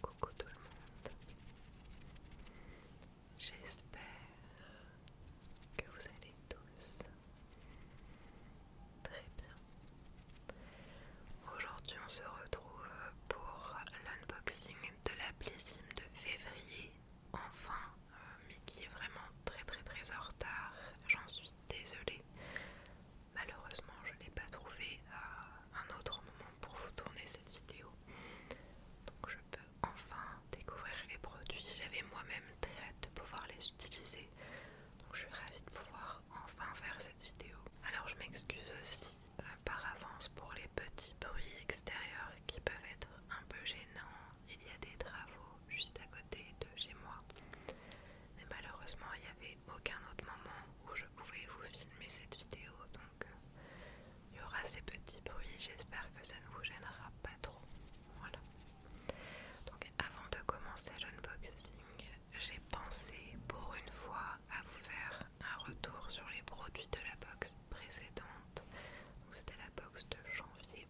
Coucou tout le monde. J'espère que vous allez tous très bien. Aujourd'hui on se retrouve pour l'unboxing de la Blessime de février. Enfin, euh, mais qui est vraiment très très très en retard. J'en suis désolée. Malheureusement, je n'ai pas trouvé euh, un autre moment pour vous tourner cette vidéo. Donc je peux enfin découvrir les produits. J'avais moi-même très hâte de pouvoir les utiliser. Donc je suis ravie de pouvoir enfin faire cette vidéo. Alors je m'excuse aussi euh, par avance pour les petits bruits extérieurs qui peuvent être un peu gênants. Il y a des travaux juste à côté de chez moi. Mais malheureusement, il y avait aucun autre moment où je pouvais vous filmer cette vidéo donc euh, il y aura ces petits bruits j'espère que ça ne vous gênera pas trop voilà donc avant de commencer l'unboxing j'ai pensé pour une fois à vous faire un retour sur les produits de la box précédente donc c'était la box de janvier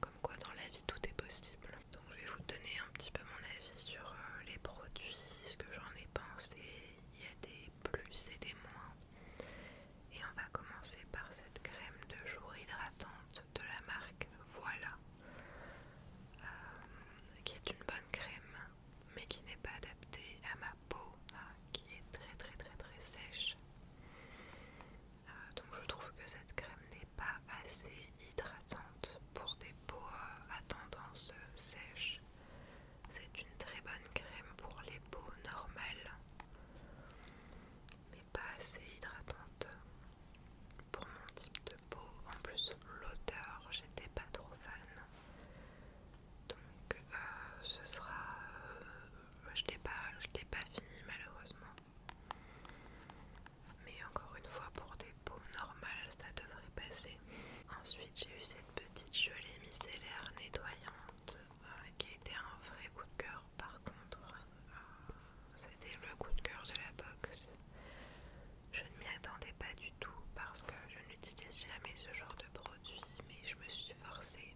comme quoi dans la vie tout est possible donc je vais vous donner un petit peu mon avis sur euh, les produits, ce que j'en ai pensé. Il y a des plus et des moins. Et on va commencer par cette crème de jour hydratante de la marque Voilà, euh, qui est une bonne crème, mais qui n'est pas adaptée à ma peau, hein, qui est très très très très sèche. Euh, donc je trouve que cette crème n'est pas assez hydratante pour des peaux à tendance sèche. C'est une très bonne crème pour les peaux normales, mais pas assez hydratante pour mon type de peau. En plus, l'odeur, j'étais pas trop fan. Donc, euh, ce sera. Euh, je l'ai pas, je l'ai pas fini malheureusement mais encore une fois pour des peaux normales ça devrait passer. Ensuite j'ai eu cette petite gelée micellaire nettoyante euh, qui était un vrai coup de cœur par contre. Euh, c'était le coup de cœur de la box. Je ne m'y attendais pas du tout parce que je n'utilise jamais ce genre de produit mais je me suis forcée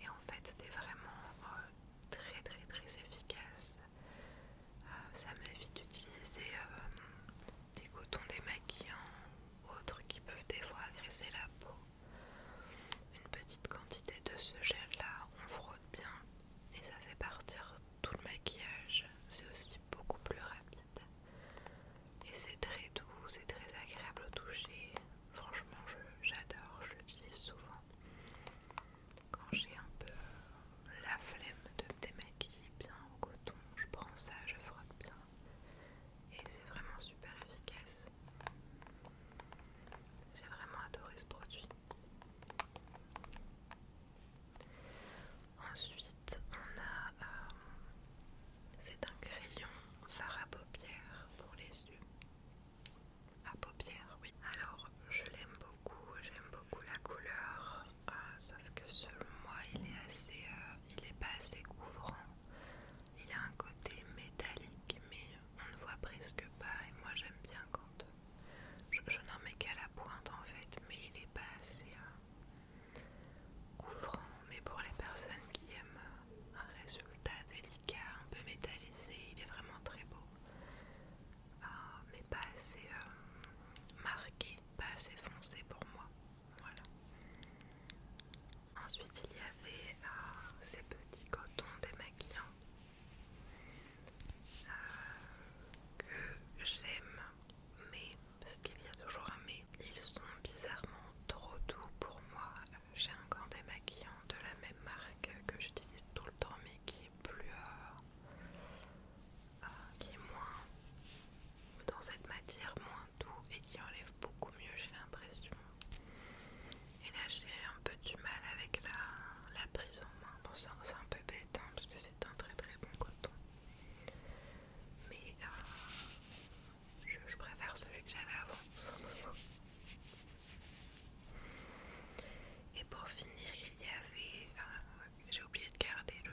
et en fait c'était vraiment euh, très très très efficace euh, ça m'évite d'utiliser euh, des cotons démaquillants autres qui peuvent des fois agresser la peau. Une petite quantité de ce gel là, on frotte bien et ça fait partir tout le maquillage. C'est aussi beaucoup plus rapide et c'est très doux, c'est très agréable au toucher. Franchement, j'adore, je, je l'utilise souvent quand j'ai un peu la flemme de me démaquiller bien au coton, je prends ça, je frotte bien et c'est vraiment super efficace. J'ai vraiment adoré ce produit. Ensuite, on a. Euh, c'est un crayon fard à paupières pour les yeux. À ah, paupières, oui. Alors, je l'aime beaucoup, j'aime beaucoup la couleur, euh, sauf que selon moi il est assez, euh, il pas assez couvrant. Il a un côté métallique, mais on ne voit presque pas. Et moi j'aime bien quand je, n'en mets qu'à la pointe en fait, mais il n'est pas assez euh, couvrant. Mais pour les personnes qui aiment un résultat délicat, un peu métallisé, il est vraiment très beau. Ah, mais pas assez euh, marqué, pas assez foncé pour moi. Voilà. Ensuite, il y avait euh, ces petits cotons démaquillants euh, que j'aime, mais parce qu'il y a toujours un mais, ils sont bizarrement trop doux pour moi. J'ai un des maquillants de la même marque que j'utilise tout le temps, mais qui plus euh, qui est moins dans cette matière moins doux et qui enlève beaucoup mieux j'ai l'impression et là j'ai un peu du mal avec la, prise en main ça c'est un peu bête hein, parce que c'est un très très bon coton mais euh, je, préfère celui que j'avais avant tout simplement et pour finir il y avait euh, j'ai oublié de garder le,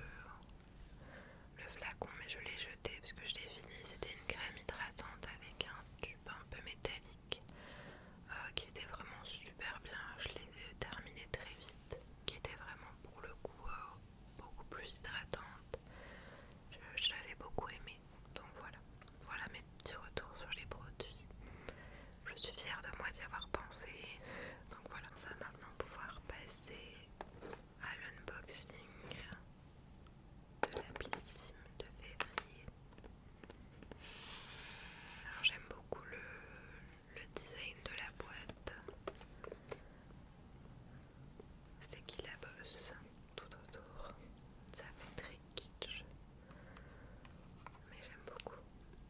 le flacon, mais je l'ai jeté parce que je l'ai fini. C'était une crème hydratante avec un tube un peu métallique euh, qui était vraiment super bien. Je l'ai terminé très vite, qui était vraiment pour le coup euh, beaucoup plus hydratante. je l'avais beaucoup aimé. Donc voilà, voilà mes petits retours sur les produits je suis fière de moi d'y avoir pensé. Donc voilà, on va maintenant pouvoir passer à l'unboxing de la Blissime de février. Alors j'aime beaucoup le, design de la boîte. C'est qui la bosse tout autour. Ça fait très kitsch. Mais j'aime beaucoup.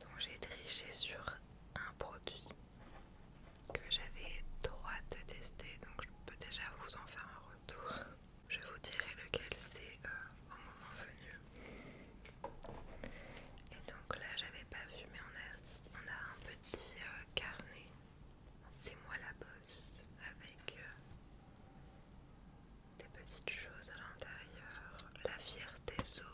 Donc j'ai triché sur un produit que j'avais droit de tester, donc je peux déjà vous en faire un retour. Je vous dirai lequel c'est euh, au moment venu. Et donc là j'avais pas vu mais on a, on a un petit euh, carnet, c'est moi la bosse avec euh, des petites choses à l'intérieur, la fierté zone,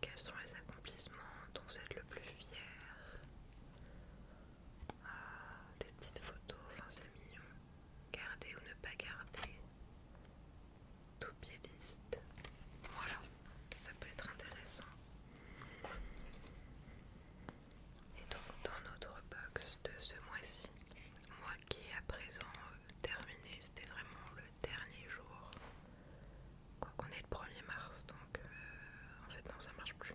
quels sont les accomplissements dont vous êtes le plus fier, ah, des petites photos, enfin c'est mignon, garder ou ne pas garder, tout liste, voilà ça peut être intéressant. Et donc dans notre box de ce mois-ci, moi qui est à présent euh, terminé, c'était vraiment le dernier jour. Quoi qu'on est le 1er mars, donc euh, en fait non ça marche plus.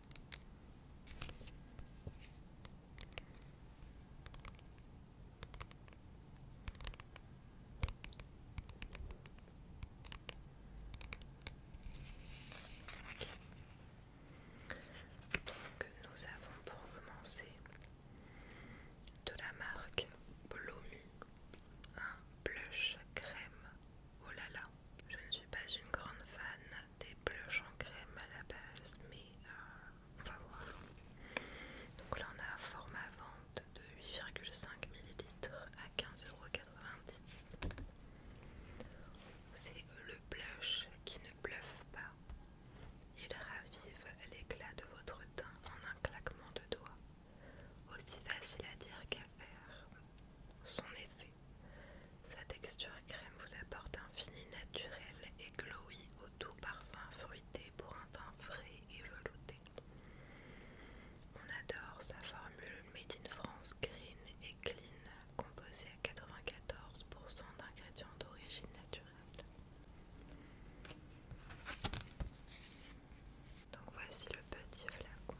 Donc nous avons pour commencer de la marque Blomi un blush crème. Oh là là, je ne suis pas une grande fan des blushs en crème à la base, mais euh, on va voir. Donc là, on a un format vente de 8,5 ml à 15,90€. C'est le blush qui ne bluffe pas. Il ravive l'éclat de votre teint en un claquement de doigts. Aussi facile à dire qu'à faire. Son effet sa texture crème vous apporte un fini naturel et glowy au doux parfum fruité pour un teint frais et velouté. On adore sa formule Made in France Green et Clean, composée à 94% d'ingrédients d'origine naturelle. Donc voici le petit flacon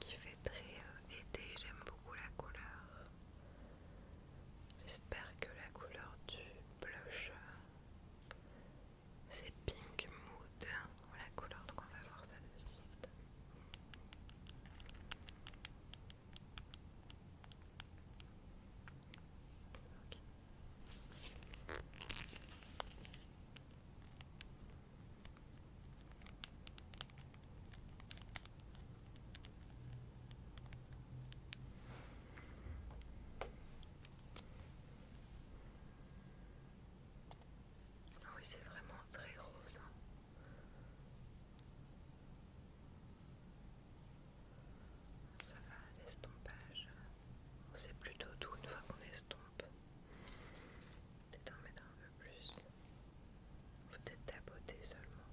qui fait très euh, été, j'aime beaucoup la couleur. J'espère que la couleur du blush, euh, c'est Pink Mood la couleur, donc on va voir ça de suite. Ah oui, c'est vraiment très rose. Hein. Ça va, l'estompage. On sait plutôt tout une fois qu'on estompe. Peut-être en mettre un peu plus. Peut-être tapoter seulement.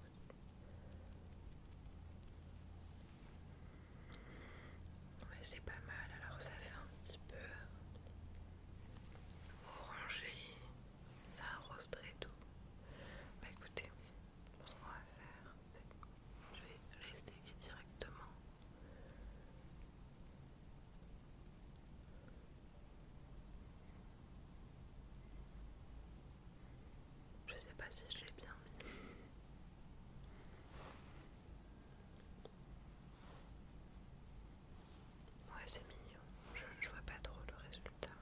Ouais, c'est pas mal. Alors ça fait un petit peu orangé ça arrose très doux. Bah écoutez, ce qu'on va faire, je vais l'essayer directement. Je sais pas si je l'ai bien mis. Ouais, c'est mignon. Je, vois pas trop le résultat.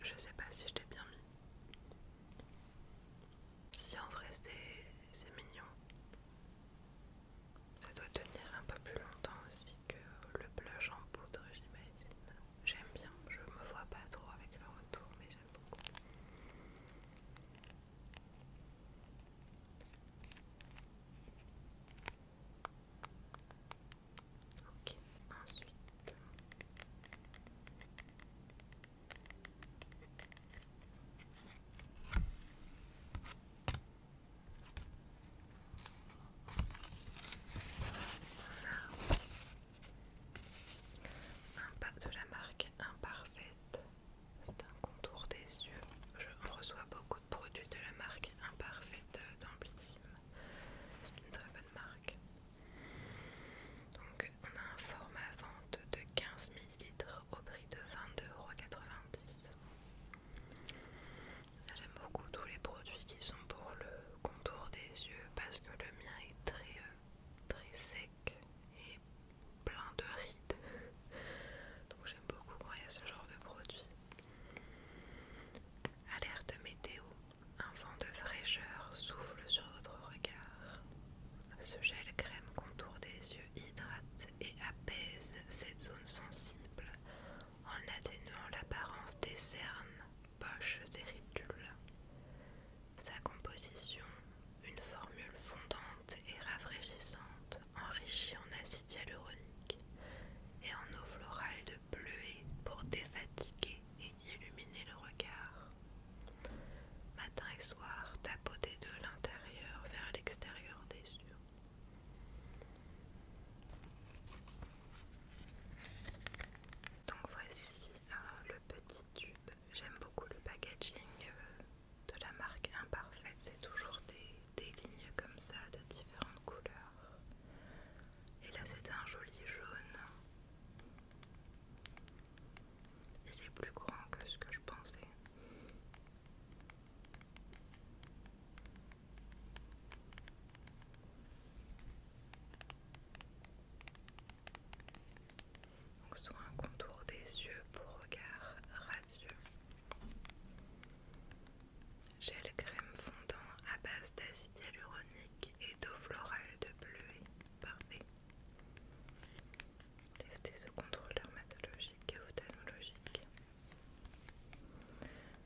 Je, sais pas si je l'ai bien mis. Si en vrai c'est mignon. Ça doit tenir un peu plus longtemps aussi que le blush en poudre, j'imagine. J'aime bien, je me vois pas trop avec le retour, mais j'aime beaucoup. Ok, ensuite. Un pack de la marque Imparfaite. C'est un contour des yeux. Je reçois beaucoup de produits de la marque Imparfaite d'Amplissime. C'est une très bonne marque. Donc on a un format vente de 15 ml au prix de 22,90€. J'aime beaucoup tous les produits qui sont pour le contour des yeux parce que le mien est très, euh, très sec et plein de rides. Donc j'aime beaucoup quand il y a ce genre de produit. Alerte météo, un vent de fraîcheur souffle sur votre regard. Ce gel crème contour des yeux hydrate et apaise cette zone sensible en atténuant l'apparence des cernes poche et ridules. Sa composition, une formule fondante et rafraîchissante, enrichie en acide hyaluronique et en eau florale de bleuet pour défatiguer et illuminer le regard. Matin et soir, tapoter de l'intérieur vers l'extérieur des yeux. Donc voici euh, le petit tube. J'aime beaucoup le packaging euh, de la marque Imparfaite. C'est toujours des lignes comme ça de différentes couleurs. Et là, c'est un joli jaune. Il est plus grand que ce que je pensais. Donc soit un contour des yeux pour regard radieux. Gel crème fondant à base d'acide hyaluronique et d'eau florale de bleuet. Parfait. Testez ce contrôle dermatologique et ophtalmologique.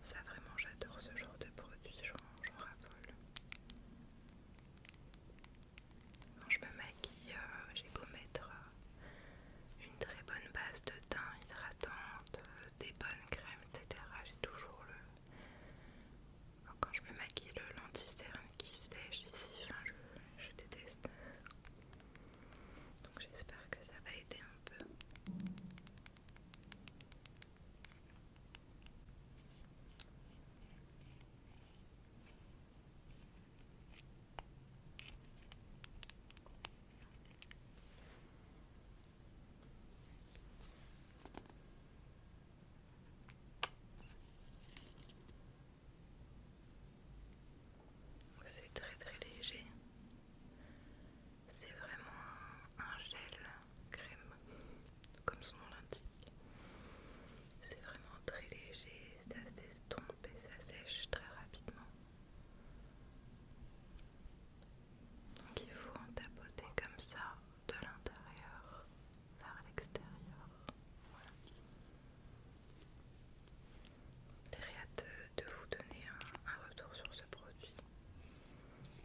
Ça vraiment j'adore ce genre de produit, j'en rappelle quand je me maquille, euh, j'ai beau mettre euh, une très bonne base de teint hydratante, euh, des bonnes crèmes, etc. J'ai toujours le. quand je me maquille, le lenticerne qui sèche ici, je déteste. Donc j'espère que ça va aider un peu. C'est très très léger. C'est vraiment un gel crème, comme son nom l'indique. C'est vraiment très léger, ça s'estompe et ça sèche très rapidement. Donc il faut en tapoter comme ça de l'intérieur vers l'extérieur. Voilà. J'ai hâte de, vous donner un retour sur ce produit.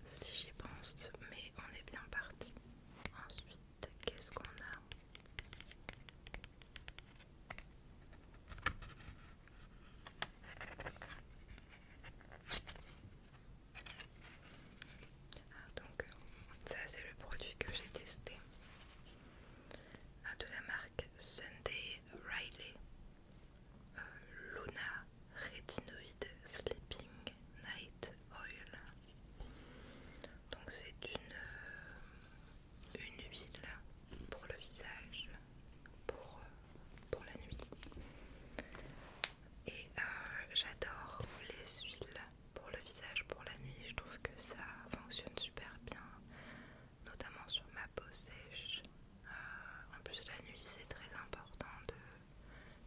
Si j'y pense, mais on est bien parti. Ensuite, qu'est-ce qu'on a ah, donc ça c'est le produit que j'ai testé ah, de la marque Sunday Riley euh, Luna Retinoid Sleeping Night Oil. Donc c'est une, euh, une huile pour le visage, pour, euh, la nuit. Et euh, j'adore les huiles pour le visage, pour la nuit. Je trouve que ça fonctionne super bien, notamment sur ma peau sèche. en plus la nuit c'est très important de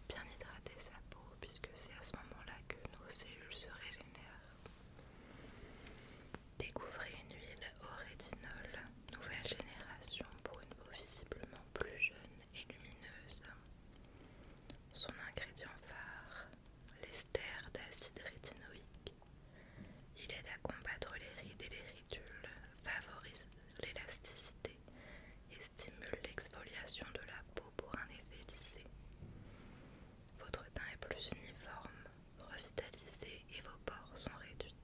bien hydrater sa peau puisque c'est à ce moment-là que nos cellules se régénèrent. Découvrez une huile au rétinol, nouvelle génération pour une peau visiblement plus jeune et lumineuse. Son ingrédient phare, l'ester d'acide rétinoïque. Il aide à combattre les rides et les ridules, favorise l'élasticité et stimule l'exfoliation de la peau pour un effet lissé. Votre teint est plus uniforme, revitalisé et vos pores sont réduits.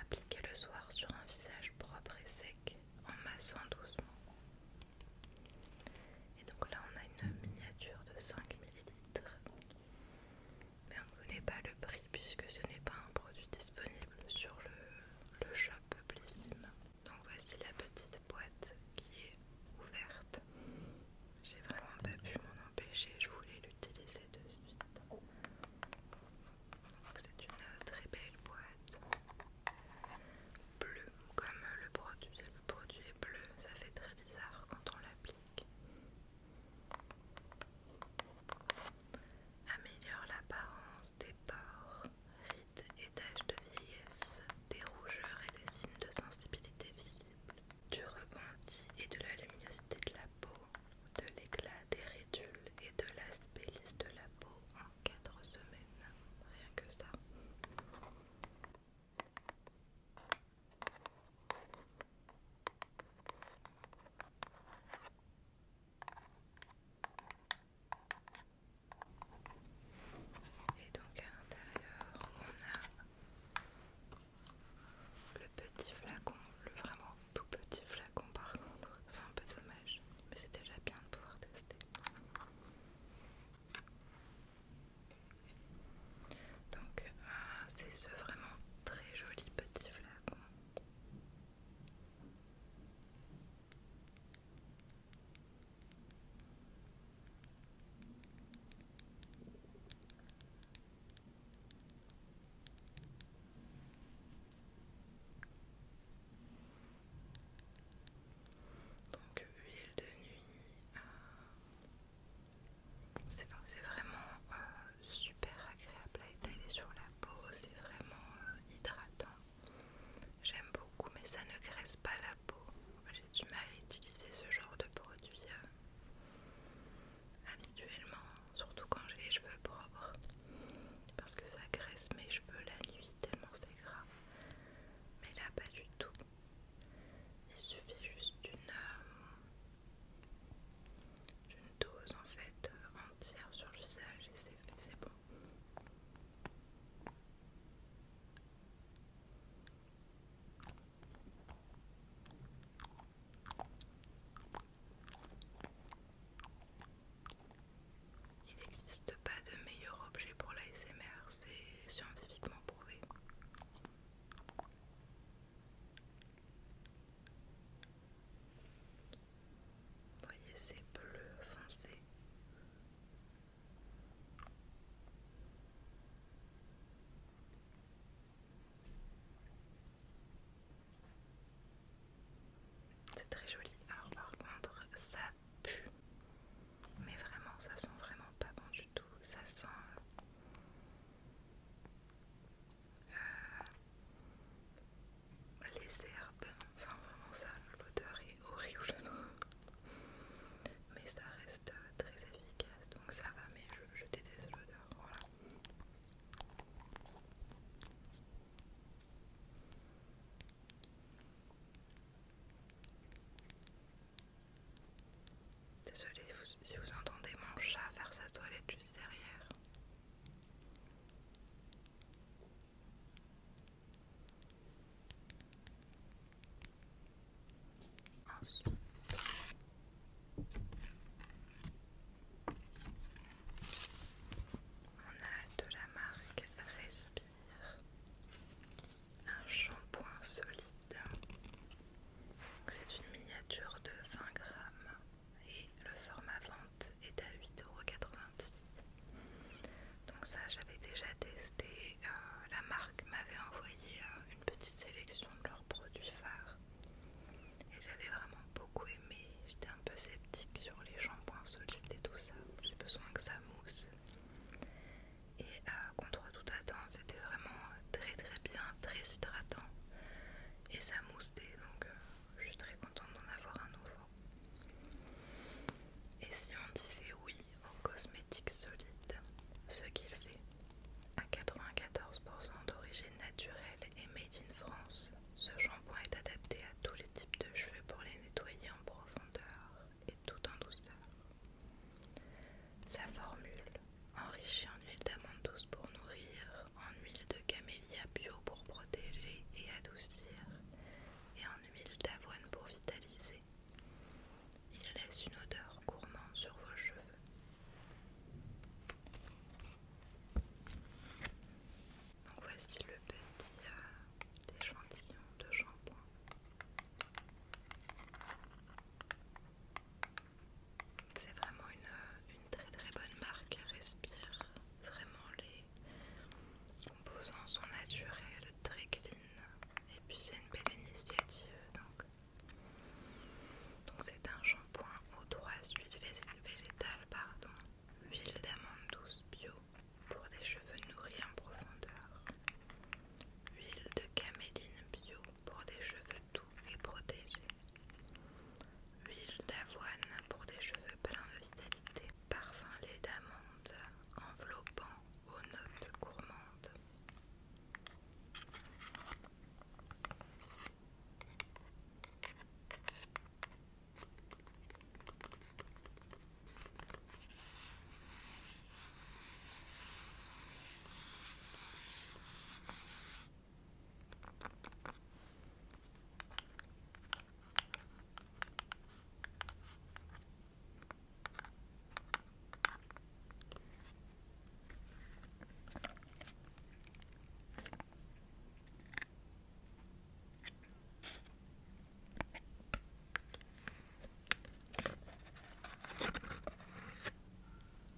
Appliquez le soir sur un visage propre et sec en massant doucement. Et donc là on a une miniature de 5 ml. Mais on ne connaît pas le prix puisque ce n'est pas un produit disponible sur le, shop Blissime. Donc voici la petite boîte qui est ouverte. J'ai vraiment pas pu m'en empêcher, je voulais l'utiliser de suite. C'est une très belle boîte Bleu. comme le produit. Le produit est bleu, ça fait très bizarre quand on l'applique. Améliore l'apparence des pores, rides et taches de vieillesse, des rougeurs et des signes de sensibilité visible, du rebondi et de la luminosité de la peau, de l'éclat des ridules et de l'aspect de la peau en quatre semaines. Rien que ça. Et donc à l'intérieur, on a le petit flacon, le vraiment tout petit flacon par contre. C'est un peu dommage, mais c'est déjà bien de pouvoir tester. Donc euh, c'est ce vraiment très joli petit flacon. Donc huile de nuit, euh, c'est vraiment euh, super agréable à étaler sur la peau, c'est vraiment euh, hydratant. J'aime beaucoup, mais ça ne graisse pas la peau. J'ai du mal à utiliser ce genre de produit euh, habituellement, surtout quand j'ai les cheveux propres, parce que ça graisse mes cheveux la nuit tellement c'est gras. Mais là, pas du tout. Il suffit juste d'une euh, dose en fait euh, entière sur le visage et c'est bon. Il n'existe pas de meilleur objet pour l'ASMR, c'est scientifiquement prouvé. voyez, ces bleus foncé. C'est très joli. Alors par contre, ça pue. Mais vraiment, ça sent vraiment pas bon du tout. Ça sent... Euh, les herbes, enfin vraiment ça, l'odeur est horrible Mais ça reste euh, très efficace, donc ça va, mais je, déteste l'odeur, voilà. désolé si vous entendez mon chat faire sa toilette juste derrière on a de la marque Respire un shampoing solide. C'est une miniature de 20 grammes et le format est à 8,90€. Donc ça j'avais déjà testé, euh, la marque m'avait envoyé euh, une petite sélection de leurs produits phares et j'avais vraiment beaucoup aimé, j'étais un peu sceptique sur les shampoings solides et tout ça, j'ai besoin que ça mousse et euh, contre toute attente c'était vraiment très très bien, très hydratant et ça mousse donc je suis très contente d'en avoir un nouveau et si on disait oui aux cosmétiques solides, ce qu'il fait, à 94% d'origine naturelle et made in France, ce shampoing est adapté à tous les types de cheveux pour les nettoyer en profondeur et tout en douceur. Sa formule, enrichie en huile d'amande douce pour nourrir, en huile de camélia bio pour protéger et adoucir, et en huile d'avoine pour vitaliser. Il laisse une odeur gourmande sur vos cheveux. Donc voici le petit euh, échantillon de shampoing. C'est vraiment une, euh, une très très bonne marque, respire vraiment les, composant son naturel très clean et puis c'est une belle initiative donc donc c'est un shampoing aux trois huiles végétales pardon huile d'amande douce bio pour des cheveux nourris en profondeur huile de caméline bio pour des cheveux doux et protégés huile d'avoine pour des cheveux pleins de vitalité parfum lait d'amande enveloppant aux notes gourmandes.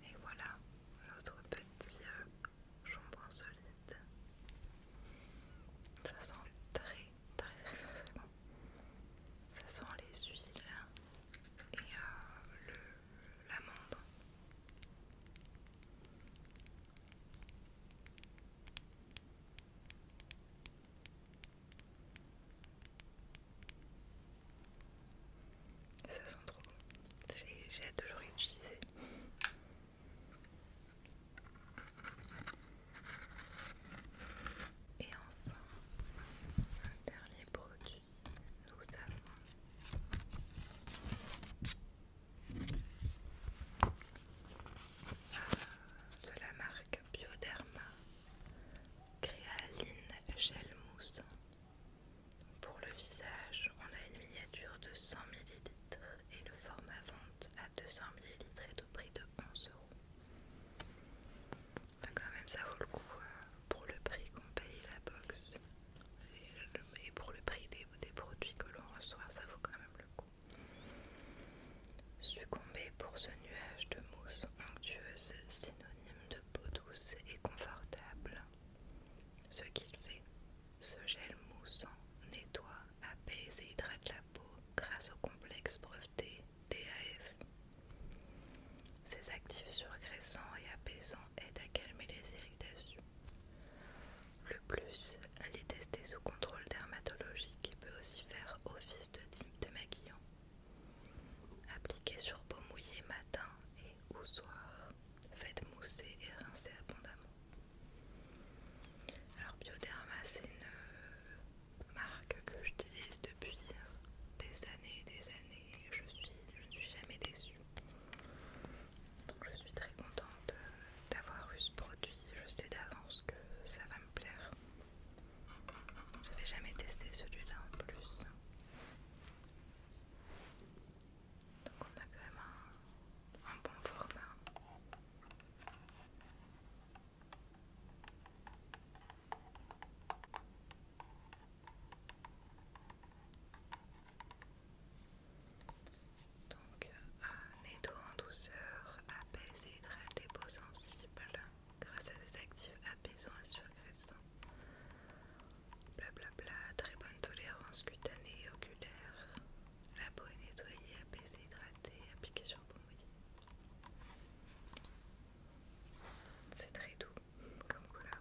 Et voilà notre petit euh, jambon solide. Ça sent très ça sent les huiles et la l'amande. Ça sent trop bon. J'ai hâte de le réutiliser. Et enfin, un dernier produit, nous avons euh, de la marque Bioderma Créaline Gel Mousse. Pour le visage, on a une miniature de 100 ml et le format vente à 200 ml et au prix de 11 euros. quand même ça vaut le coup euh, pour le prix qu'on paye la box et, pour le prix des, produits que l'on reçoit, ça vaut quand même le coup. Succomber pour ce nuage de mousse onctueuse, synonyme de peau douce et confortable. Ce qu'il fait, ce gel moussant nettoie apaise et hydrate la peau grâce au complexe breveté TAF. Ces actifs surgraissants et apaisants aident à calmer les irritations. Le plus, elle est testée sous contrôle dermatologique et peut aussi faire office de type de maquillant. Appliquez sur peau mouillée matin et au soir, faites mousser et rincer abondamment. Alors Bioderma c'est une euh, marque que j'utilise depuis des années et des années je, suis, ne suis jamais déçue. Donc je suis très contente euh, d'avoir eu ce produit, je sais d'avance que ça va me plaire. Je n'avais jamais testé celui-là en plus. Donc on a quand même un bon format. Donc, euh, nettoie en douceur, apaise et hydrate les peaux sensibles grâce à des actifs apaisants et surcrescents Blablabla, bla, très bonne tolérance cutanée et oculaire. La peau est nettoyée, apaisée, hydratée, appliquée sur bon c'est très doux comme couleur.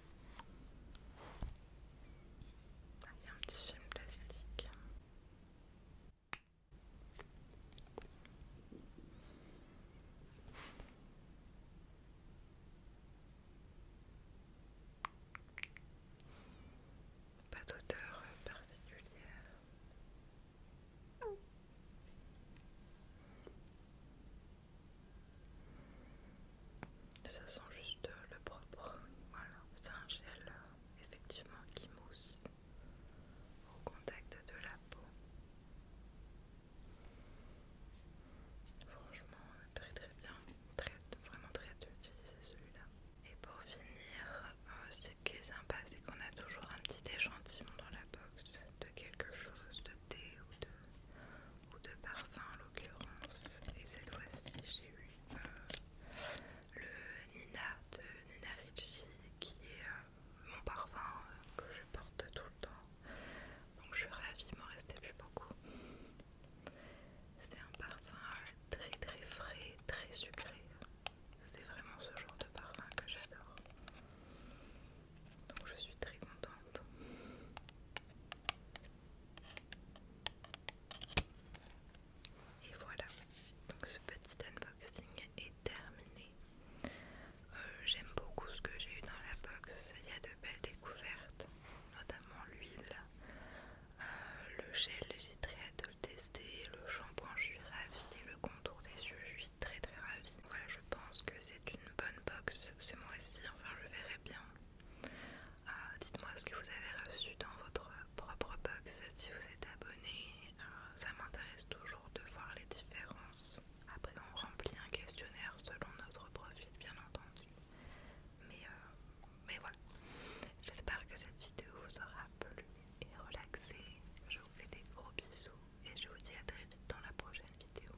Ah, un petit film plastique. Pas d'odeur euh, particulière. Ça sent juste euh, le propre. Voilà, c'est un gel euh, effectivement qui mousse au contact de la peau. Franchement, euh, très très bien. vraiment très utile celui-là. Et pour finir, ce qui est sympa, c'est qu'on a toujours un petit échantillon dans la box de quelque chose, de thé ou de ou de parfum en l'occurrence. Et cette fois-ci, j'ai eu euh, le Nina de Nina Ricci qui est euh, mon parfum euh, que je porte tout le temps. Donc je suis ravie, il m'en restait plus beaucoup. C'est un parfum très très frais, très sucré. C'est vraiment ce genre de parfum que j'adore. Donc je suis très contente. Et voilà, donc ce petit unboxing est terminé. Euh, j'aime beaucoup ce que j'ai eu dans la box, il y a de belles découvertes, notamment l'huile, euh, le gel, j'ai très hâte de le tester, le shampoing, je suis ravie, le contour des yeux, je suis très très ravie. Voilà, je pense que c'est une bonne box ce mois-ci, enfin je verrai bien. Euh, dites-moi ce que vous avez reçu dans votre propre box si vous êtes abonné. Euh, ça m'intéresse toujours de voir les différences. Après, on remplit un questionnaire selon notre profil, bien entendu. Mais, euh, mais voilà. J'espère que cette vidéo vous aura plu et relaxé. Je vous fais des gros bisous et je vous dis à très vite dans la prochaine vidéo.